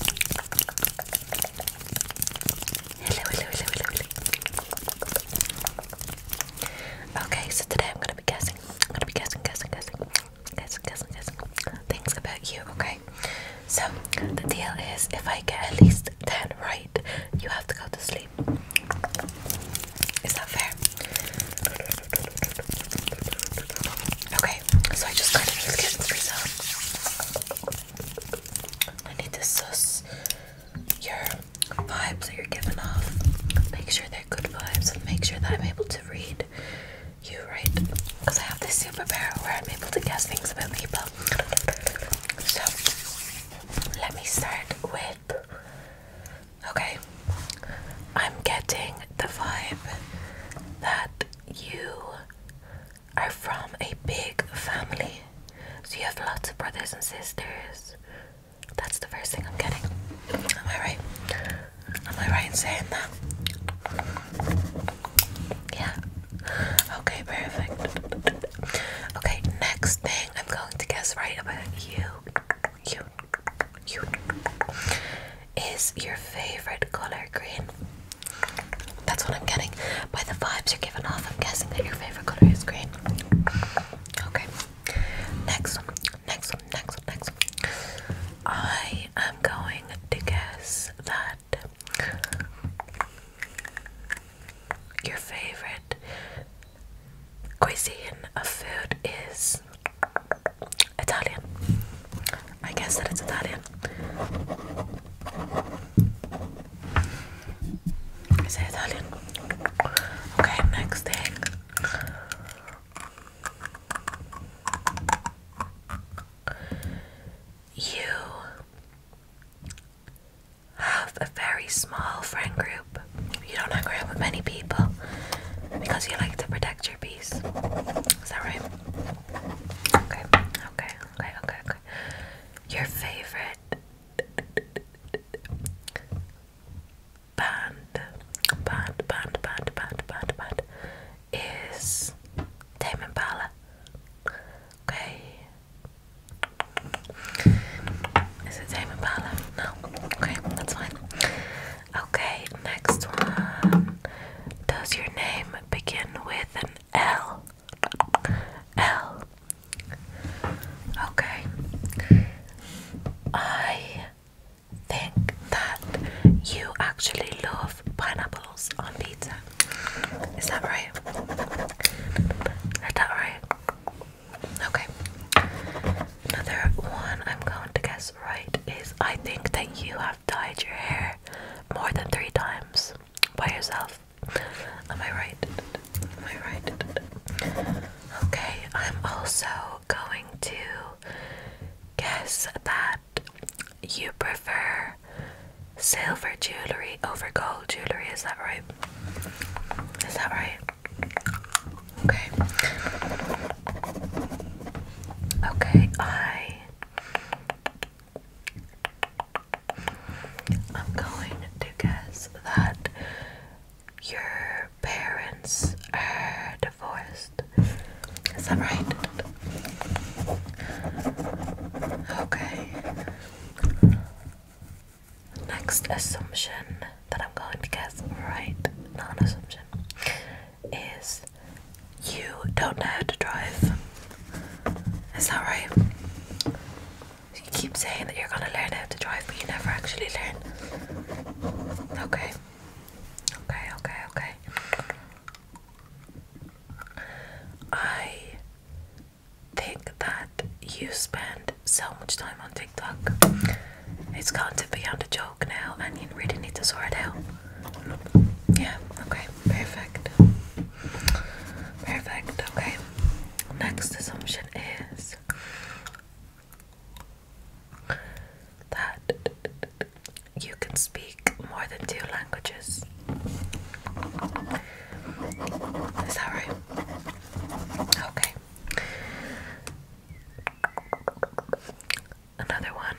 Okay, so today I'm gonna be guessing. I'm gonna be guessing, guessing, guessing, guessing, guessing, guessing things about you, okay? So the deal is if I get at least 10 right, you have to go to sleep. Is that fair? Okay, so I just got it in the kitchen I need to suss your vibes that you're giving off. Make sure they're good vibes and make sure that I'm able to read you right. Because I have this super power where I'm able to guess things about people. So let me start with okay. I'm getting the vibe that you are from a big family. So you have lots of brothers and sisters. That's the first thing I'm getting. Am I right? Am I right in saying that? Yeah. Okay, perfect. Okay, next thing I'm going to guess right about you. You. You is your favorite color green? That's what I'm getting. By the vibes you're giving off, I'm guessing that your favorite color is green. Okay. Next one, next one, next one, next one. I am going to guess that your favorite cuisine of food is Italian. I guess that it's Italian. Is Italian? Okay, next thing. You have a very small friend group. You don't hang around with many people because you like to pretend texture piece. Is that right? Okay, okay, okay, okay, okay. Your favorite band, band, band, band, band, band, band is Tame Impala. Okay. Is it Tame Impala? No. Okay, that's fine. Okay, Next one. Does your name begin with an L? L. Okay. I think that you actually love pineapples on pizza. Is that right? Is that right? Okay. Another one I'm going to guess right is I think that you have have your hair more than three times by yourself. Am I right? Am I right? Okay, I'm also going to guess that you prefer silver jewelry over gold jewelry. Is that right? Is that right? Okay. Okay, I I'm going to guess that your parents are divorced. Is that right? Okay. Next assumption that I'm going to guess, right? non assumption is you don't know how to drive. Is that right? You keep saying that you're gonna learn how to drive, but you never actually learn. Okay. Okay, okay, okay. I think that you spend so much time on TikTok. It's has gone to beyond a joke now, and you really need to sort it out. Yeah, okay, perfect. Perfect, okay. Next assumption is that you can speak more than two languages. Is that right? Okay another one.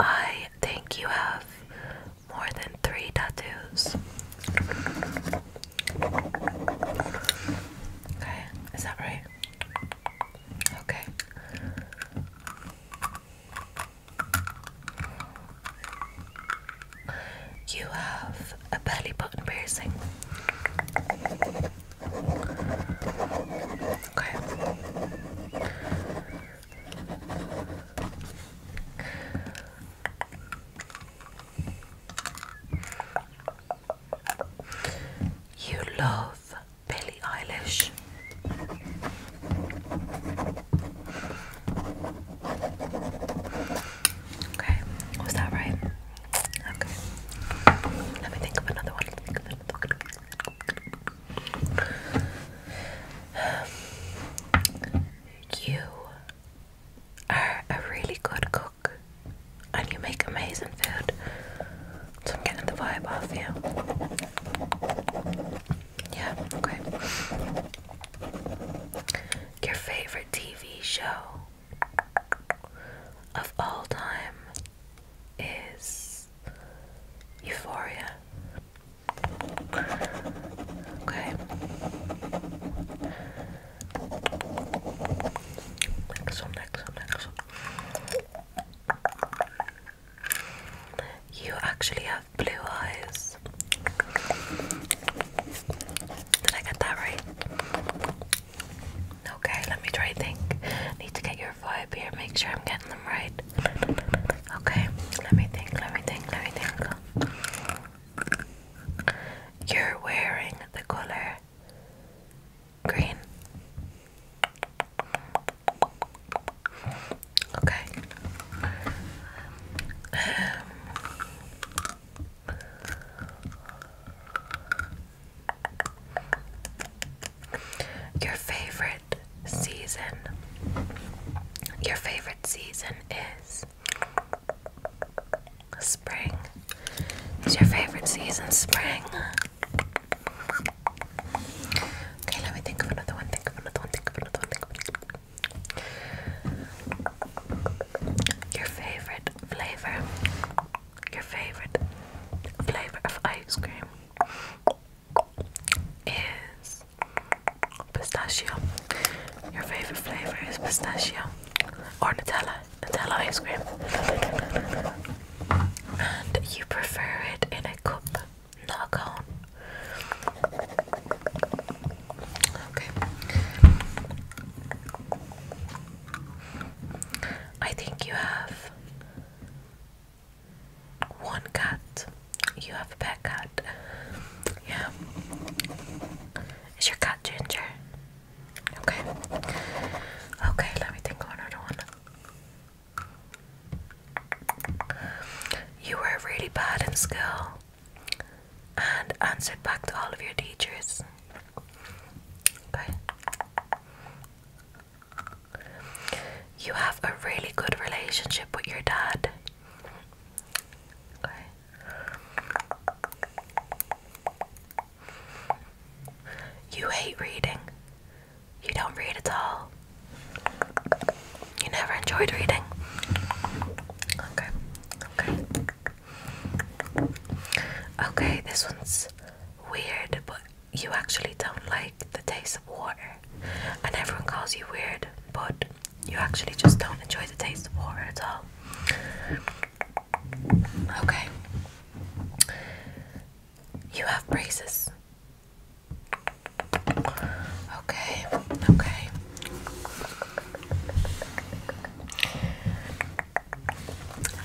I think you have more than three tattoos. Okay, is that right? Okay. You have a belly button piercing. Okay. You love Billie Eilish. Okay, was that right? Okay. Let me Think of another one. You are a really good cook and you make amazing food. So I'm getting the vibe off you. Yeah, okay. Your favorite TV show of all time is Euphoria. Okay. Next one, next one, next one. You actually have blue eyes. Did I get that right? Okay, let me try think. Need to get your vibe here, make sure I'm getting getting them right. Okay, let me think, let me think, let me think. You're wearing the color green. Okay. Um, your favorite season. Your favorite season is spring. Is your favorite season spring? Okay, let me think of another one. Think of another one. Think of another one. Think of another one. Your favorite flavor. Your favorite flavor of ice cream is pistachio. Your favorite flavor is pistachio or Nutella, Nutella ice cream. And you prefer it in a cup, not a cone. Okay. I think you have one cat. You have a pet cat. Yeah. Is your cat Ginger? Okay. Okay, let me think of another one. You were really bad in school and answered back to all of your teachers. Okay. You have a really good relationship with your dad. Okay. You hate reading. You don't read at all. You never enjoyed reading. Okay. Okay. Okay, this one's weird, but you actually don't like the taste of water, and everyone calls you weird, but you actually just don't enjoy the taste of water at all. Okay. You have braces. Okay, okay.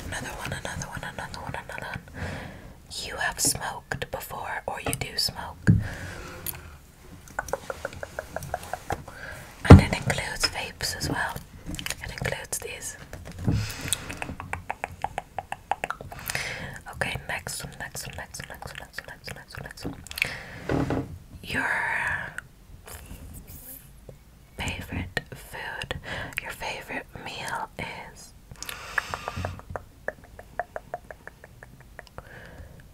Another one, another one, another one, another one you have smoked before or you do smoke. And it includes vapes as well. It includes these. Okay, next next next next next next next next Your favorite food, your favorite meal is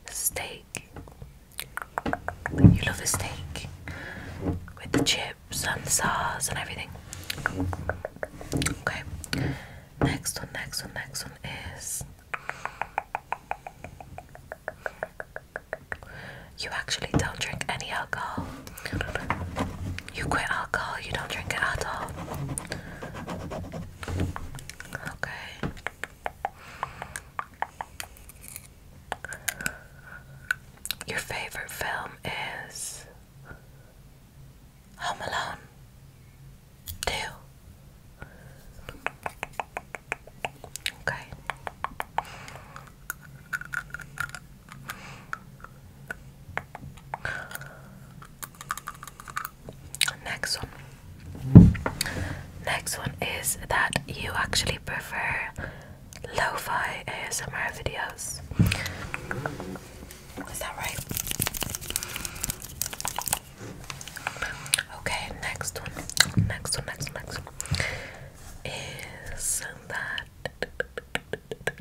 steak. You love a steak with the chips and the sauce and everything. Okay. Next one, next one, next one is you actually don't drink any alcohol. You quit alcohol, you don't drink it at all. Okay. Your favorite film is Home Alone 2. Okay. Next one. Next one is that you actually prefer lo-fi ASMR videos. Is that right? Okay, next one. Next one, next one, next one. Is that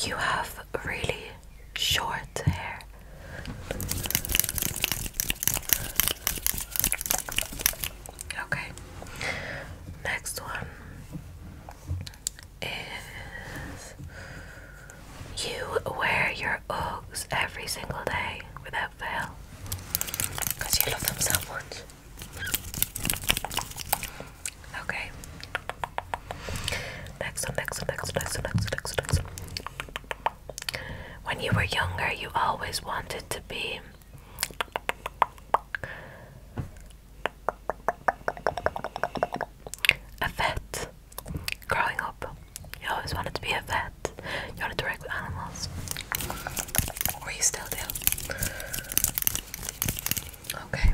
you have really short hair. Okay, next one is you wear your Uggs every single day without fail because you love them so much. Okay. Next one, next one, next one, next one, next one, next one, When you were younger, you always wanted to be. A vet. Growing up, you always wanted to be a vet. You wanted to work with animals. Or you still do. Okay.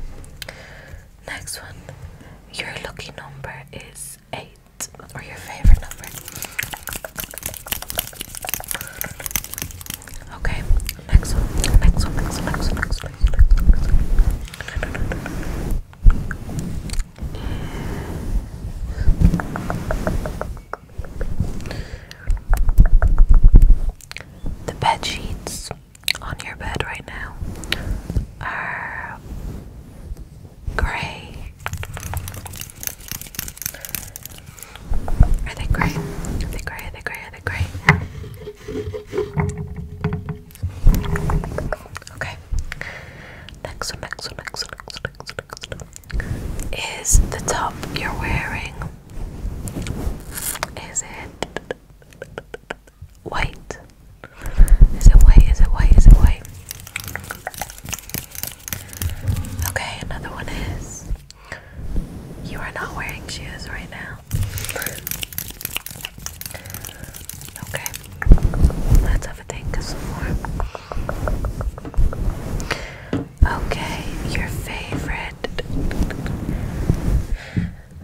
Next one. Your lucky number is eight, or your favorite number. Okay. Next one. Next one. Next one. Next one. Next one. Next one. The bed sheets on your bed right now are gray. Are they gray? Are they gray? Are they gray? Are they gray? Okay. Next one, next one, next one, next one, next one, next one is the top you're wearing. Is it white? Is it white? Is it white? Is it white? Okay, another one is you are not wearing shoes right now. Okay, let's have a think of some more. Okay, your favorite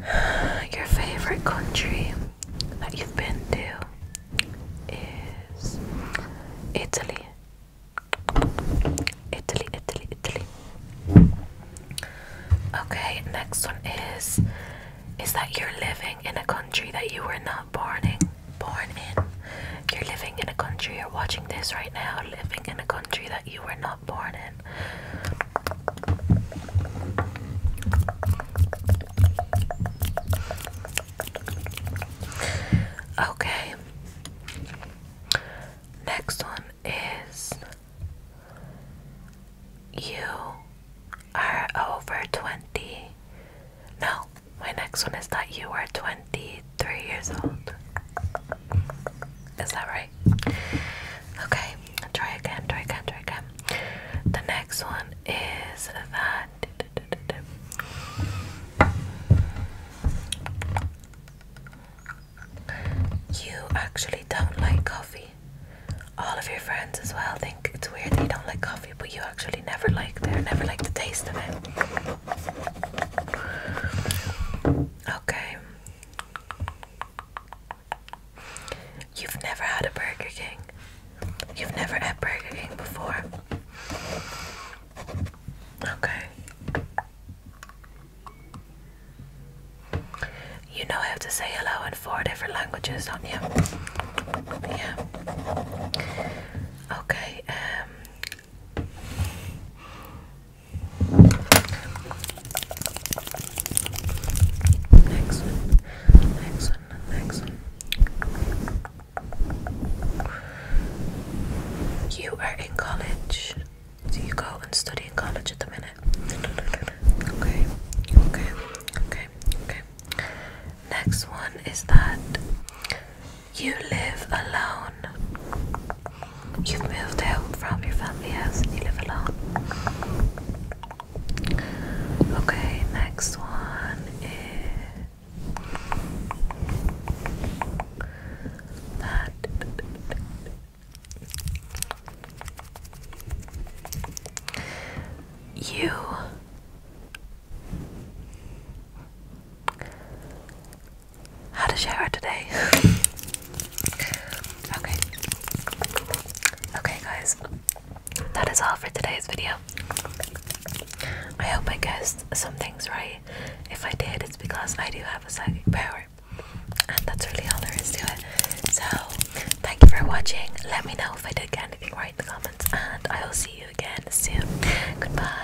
your favorite country that you've been to is Italy. Italy, Italy, Italy. Okay, next one is is that you're living in a country that you were not born born in. You're living in a country, you're watching this right now, living in a country that you were not born in. Okay. Next one is you are over 20. No, my next one is that you are 20 three years old. Is that right? Okay, try again, try again, try again. The next one is that. You actually don't like coffee. All of your friends as well think it's weird that you don't like coffee, but you actually never like. it never like the taste of it. Okay. You've never had a Burger King. You've never had Burger King before. Okay. You know I have to say hello in four different languages, don't you? Yeah. Okay, um Next next next You are in college. Do you go and study in college at the minute? Okay, okay, okay, okay. Next one is that you live alone. You've moved out from your family house and you live alone. Okay, next one is that. You had a shower today. okay. Okay, guys. That is all for today's video. I hope I guessed some things right. If I did, it's because I do have a psychic power. And that's really all there is to it. So, thank you for watching. Let me know if I did get anything right in the comments. And I will see you again soon. Goodbye.